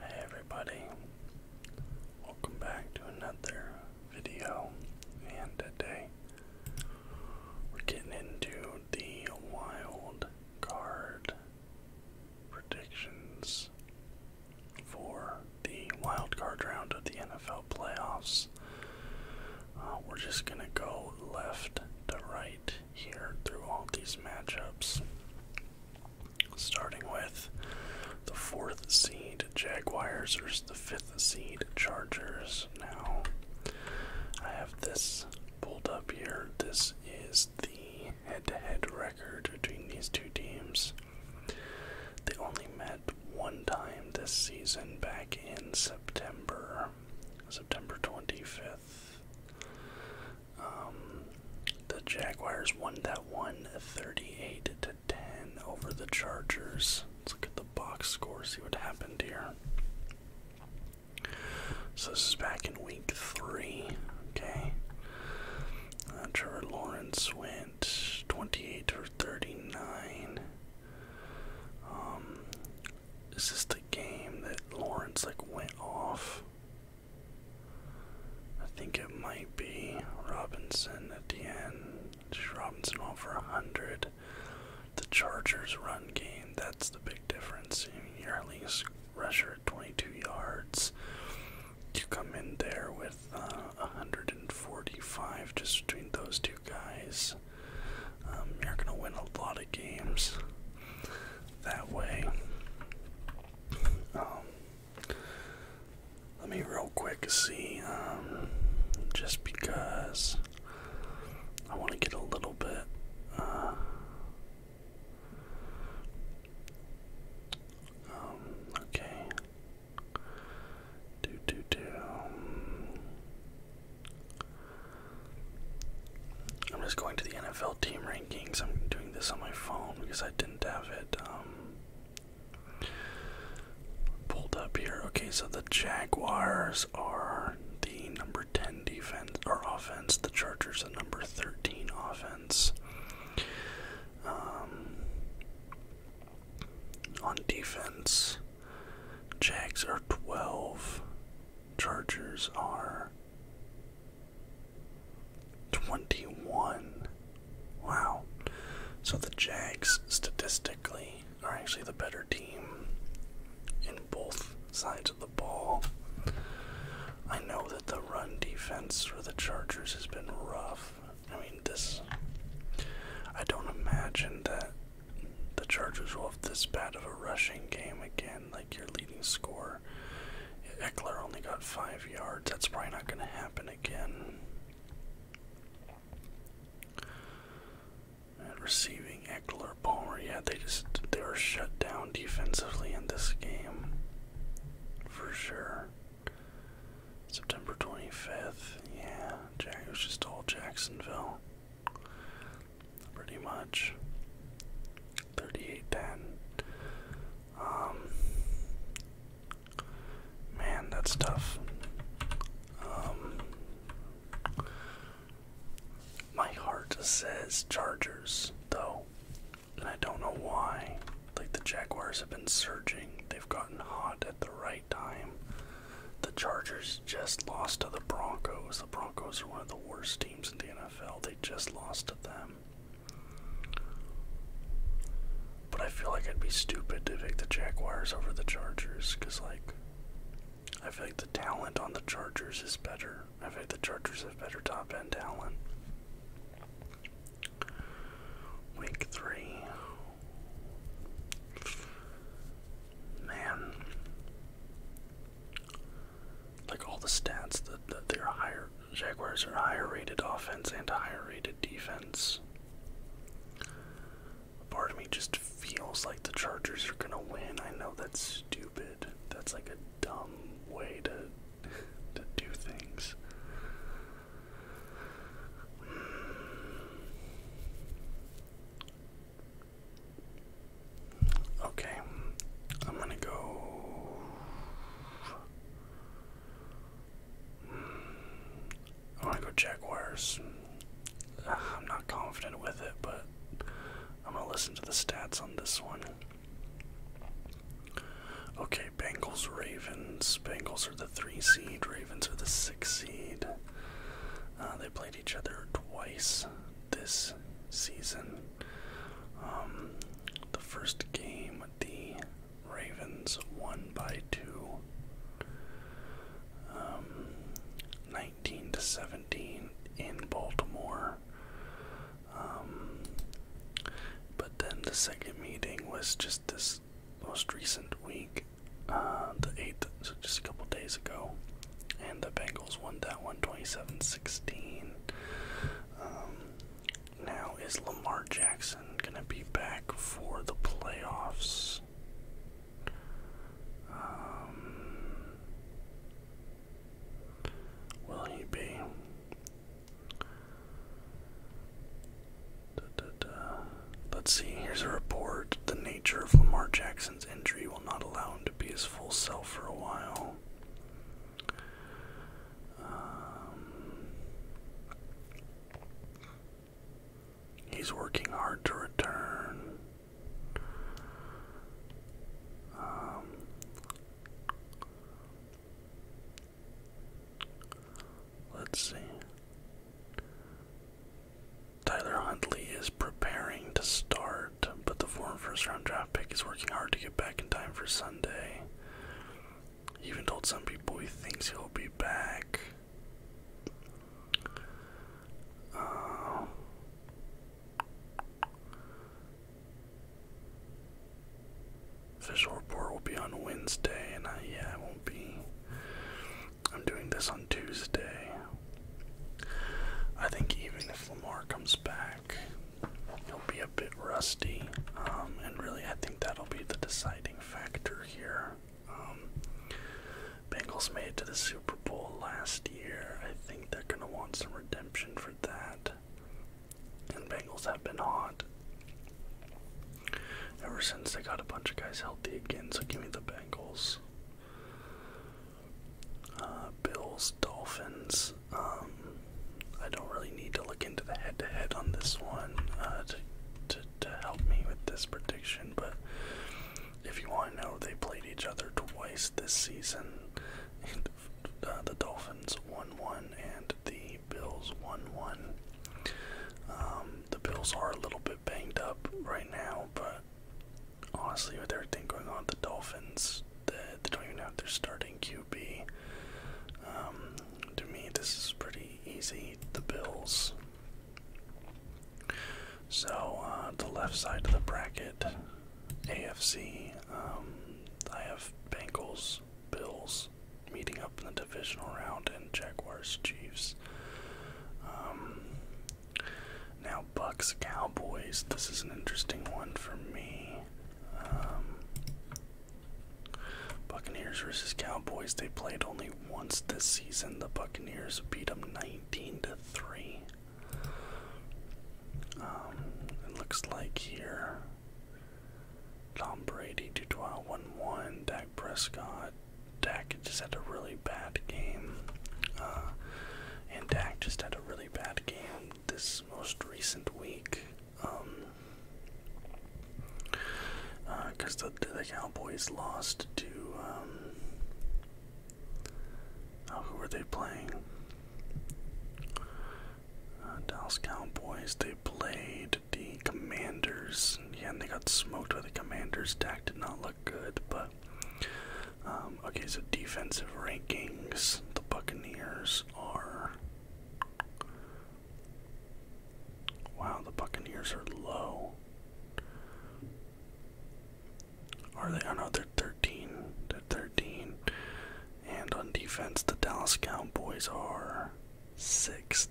Hey everybody, welcome back to another video, and today we're getting into the wild card predictions for the wild card round of the NFL playoffs. Uh, we're just gonna go left to right here through all these matchups. Starting with the fourth seed Jaguars versus the fifth seed Chargers. Now, I have this pulled up here. This is the head to head record between these two teams. They only met one time this season back in September, September 25th. Um, the Jaguars won that one 38 to 10 over the Chargers. Let's look at the box score, see what happened here. So this is back in week three, okay. Uh, Trevor Lawrence went 28 or 39. Um, is this the game that Lawrence like went off? I think it might be Robinson at the end. Robinson all for 100. The Chargers' run game, that's the big difference. I mean, you're at least rusher at 22 yards. You come in there with uh, 145 just between those two guys. Um, you're going to win a lot of games that way. Um, let me real quick see, um, just because I want to get a little bit. Uh, um, okay. Do do do. I'm just going to the NFL team rankings. I'm doing this on my phone because I didn't have it um, pulled up here. Okay, so the Jaguars are the number 10 defense or offense, the Chargers, are number 13 offense. Um, on defense, Jags are 12, Chargers are 21. Wow. So the Jags statistically are actually the better team in both sides of the ball. I know that the run defense for the Chargers has been rough. I mean, this. I don't imagine that the Chargers will have this bad of a rushing game again like your leading score, Eckler only got five yards. That's probably not going to happen again. receiving Eckler, Palmer. Yeah, they just they were shut down defensively in this game, for sure. September 25th. Yeah, It was just all Jacksonville pretty much. 38-10. Um, man, that's tough. Um, my heart says Chargers, though, and I don't know why. Like the Jaguars have been surging, they've gotten hot at the right time. The Chargers just lost to the Broncos. The Broncos are one of the worst teams in the NFL. They just lost to them. But I feel like I'd be stupid to pick the Jaguars over the Chargers because, like, I feel like the talent on the Chargers is better. I feel like the Chargers have better top end talent. Week three. Man like all the stats that, that they're higher Jaguars are higher rated offense and higher rated defense. Part of me just feels like the Chargers are gonna win. I know that's stupid. That's like a dumb way to to do things. Okay, I'm gonna go. I wanna go Jaguars. I'm not confident with it, but I'm gonna listen to the stats on this one. Okay, Bengals, Ravens. Bengals are the three seed. Ravens are the six seed. Uh, they played each other twice this season. Um, the first game, the Ravens won by two, um, 19 to 17 in Baltimore. Um, but then the second meeting was just this most recent week, uh, the 8th, so just a couple days ago and the Bengals won that one 16 um, now is Lamar Jackson gonna be back for the playoffs? Um, will he be? Let's see, here's a report. The nature of Lamar Jackson's injury not allow him to be his full self for a while. Um, he's working hard to return. Um, let's see. Tyler Huntley is preparing to start, but the former first round draft pick is working hard to get back in time for Sunday. even told some people he thinks he'll be back. Uh, official report will be on Wednesday, and I, yeah, I won't be. I'm doing this on Tuesday. I think even if Lamar comes back, he'll be a bit rusty. Um, and really, I think that'll be the deciding factor here. Um, Bengals made it to the Super Bowl last year. I think they're going to want some redemption for that. And Bengals have been hot ever since they got a bunch of guys healthy again, so give me the Bengals. Uh, Bills, Dolphins. Um, I don't really need to look into the head-to-head on this one uh, to, to help me with this prediction, but if you want to know, they played each other twice this season. Uh, the Dolphins won one, and the Bills won one. Um, the Bills are a little bit banged up right now, but honestly, with everything going on, the Dolphins, they, don't even have their starting QB. Um, to me, this is pretty easy. The Bills. So, uh, the left side of the bracket, AFC, um, I have Bengals, Bills meeting up in the divisional round, and Jaguars, Chiefs. Um, now, Bucks Cowboys. This is an interesting one for me. Um, Buccaneers versus Cowboys. They played only once this season. The Buccaneers beat them 19 to three. Um, it looks like here. Tom Brady, Dutois 1 1, Dak Prescott, Dak just had a really bad game. Uh, and Dak just had a really bad game this most recent week. Because um, uh, the, the Cowboys lost to. Um, oh, who are they playing? Uh, Dallas Cowboys. They played the Commanders. Yeah, and they got smoked by the Commanders. Dak did not look good, but um, okay, so defensive rankings. The Buccaneers are. Wow, the Buccaneers are low. Are they? Oh no, they're 13. They're 13. And on defense, the Dallas Cowboys are sixth.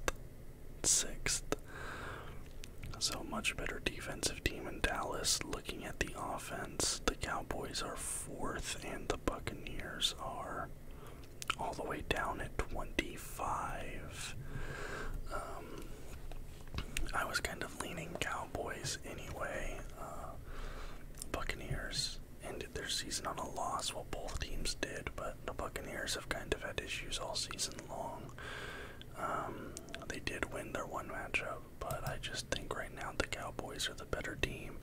Sixth. So much better defensive team in Dallas. Looking at the offense, the Cowboys are fourth, and the Buccaneers are all the way down at 25. Um, I was kind of leaning Cowboys anyway. Uh, Buccaneers ended their season on a loss, well, both teams did, but the Buccaneers have kind of had issues all season long. Um, they did win their one matchup, but I just think right now the Cowboys are the better team.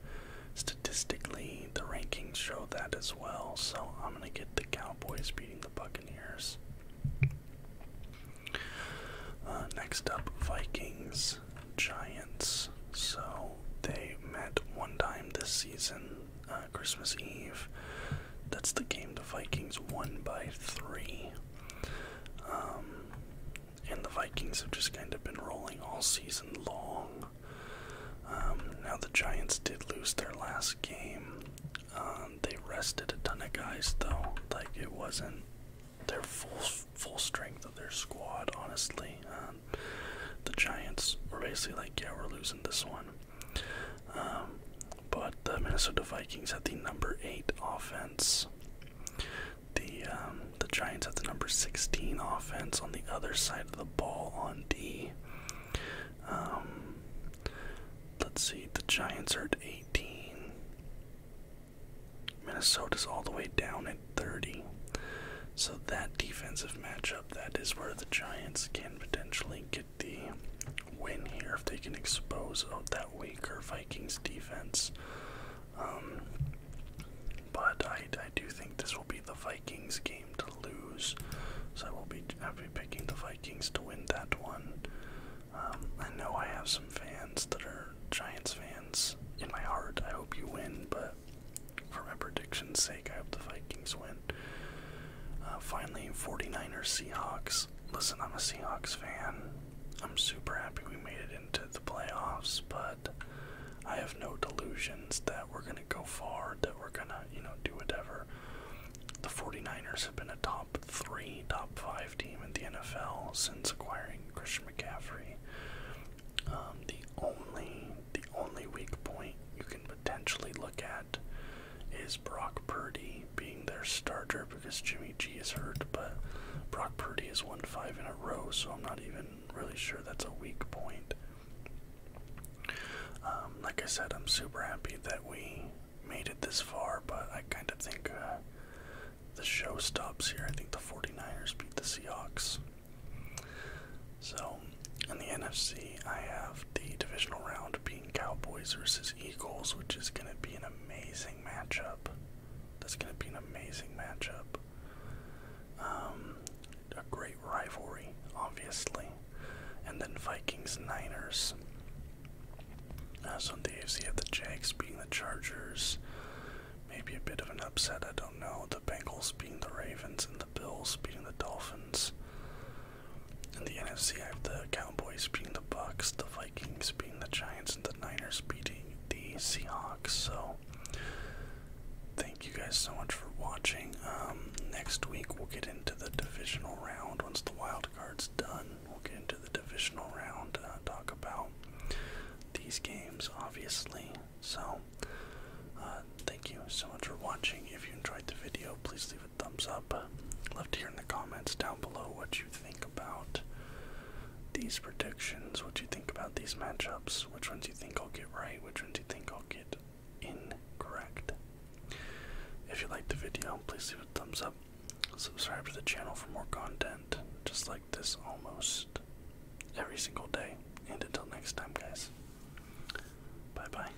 Statistically, the rankings show that as well, so I'm going to get the Cowboys beating the Buccaneers. Uh, next up, Vikings, Giants. So they met one time this season, uh, Christmas Eve. That's the game the Vikings won by three. Um, and the Vikings have just kind of been rolling all season long. Um, now the Giants did lose their last game. Um, they rested a ton of guys though. Like it wasn't their full full strength of their squad. Honestly, the Giants were basically like, yeah, we're losing this one. Um, but the Minnesota Vikings have the number eight offense. The um, the Giants have the number sixteen offense on the other side of the ball on D. Um, let's see, the Giants are at eighteen. Minnesota's all the way down at thirty. So that defensive matchup, that is where the Giants can potentially get the win here if they can expose out that weaker Vikings defense. Um, but I, I do think this will be the Vikings game to lose, so I will be happy picking the Vikings to win that one. Um, I know I have some fans that are Giants fans in my heart. I hope you win, but for my prediction's sake, I hope the Vikings win. Uh, finally, 49ers Seahawks. Listen, I'm a Seahawks fan. I'm super happy we made it into the playoffs, but I have no delusions that we're going to go far, that we're going to, you know, do whatever. The 49ers have been a top three, top five team in the NFL since acquiring Christian McCaffrey. Um, the only, the only weak point you can potentially look at is Brock Purdy being their starter because Jimmy G is hurt, but Brock Purdy has won five in a row, so I'm not even really sure that's a weak point. Um, like I said, I'm super happy that we made it this far, but I kind of think uh, the show stops here. I think the 49ers beat the Seahawks. So, in the NFC, I have the divisional round being. Cowboys versus Eagles, which is going to be an amazing matchup. That's going to be an amazing matchup. Um, a great rivalry, obviously. And then Vikings Niners. Uh, on the AFC, have the Jags being the Chargers. Maybe a bit of an upset, I don't know. The Bengals being the Ravens and the Bills being the Dolphins. In the NFC, I have the Cowboys beating the Bucks, the Vikings beating the Giants, and the Niners beating the Seahawks. So, thank you guys so much for watching. Um, next week we'll get into the divisional round once the wild card's done. We'll get into the divisional round, to uh, talk about these games, obviously. So, uh, thank you so much for watching. If you enjoyed the video, please leave thumbs up. Love to hear in the comments down below what you think about these predictions, what you think about these matchups, which ones you think I'll get right, which ones you think I'll get incorrect. If you liked the video, please give a thumbs up. Subscribe to the channel for more content just like this almost every single day. And until next time, guys, bye bye.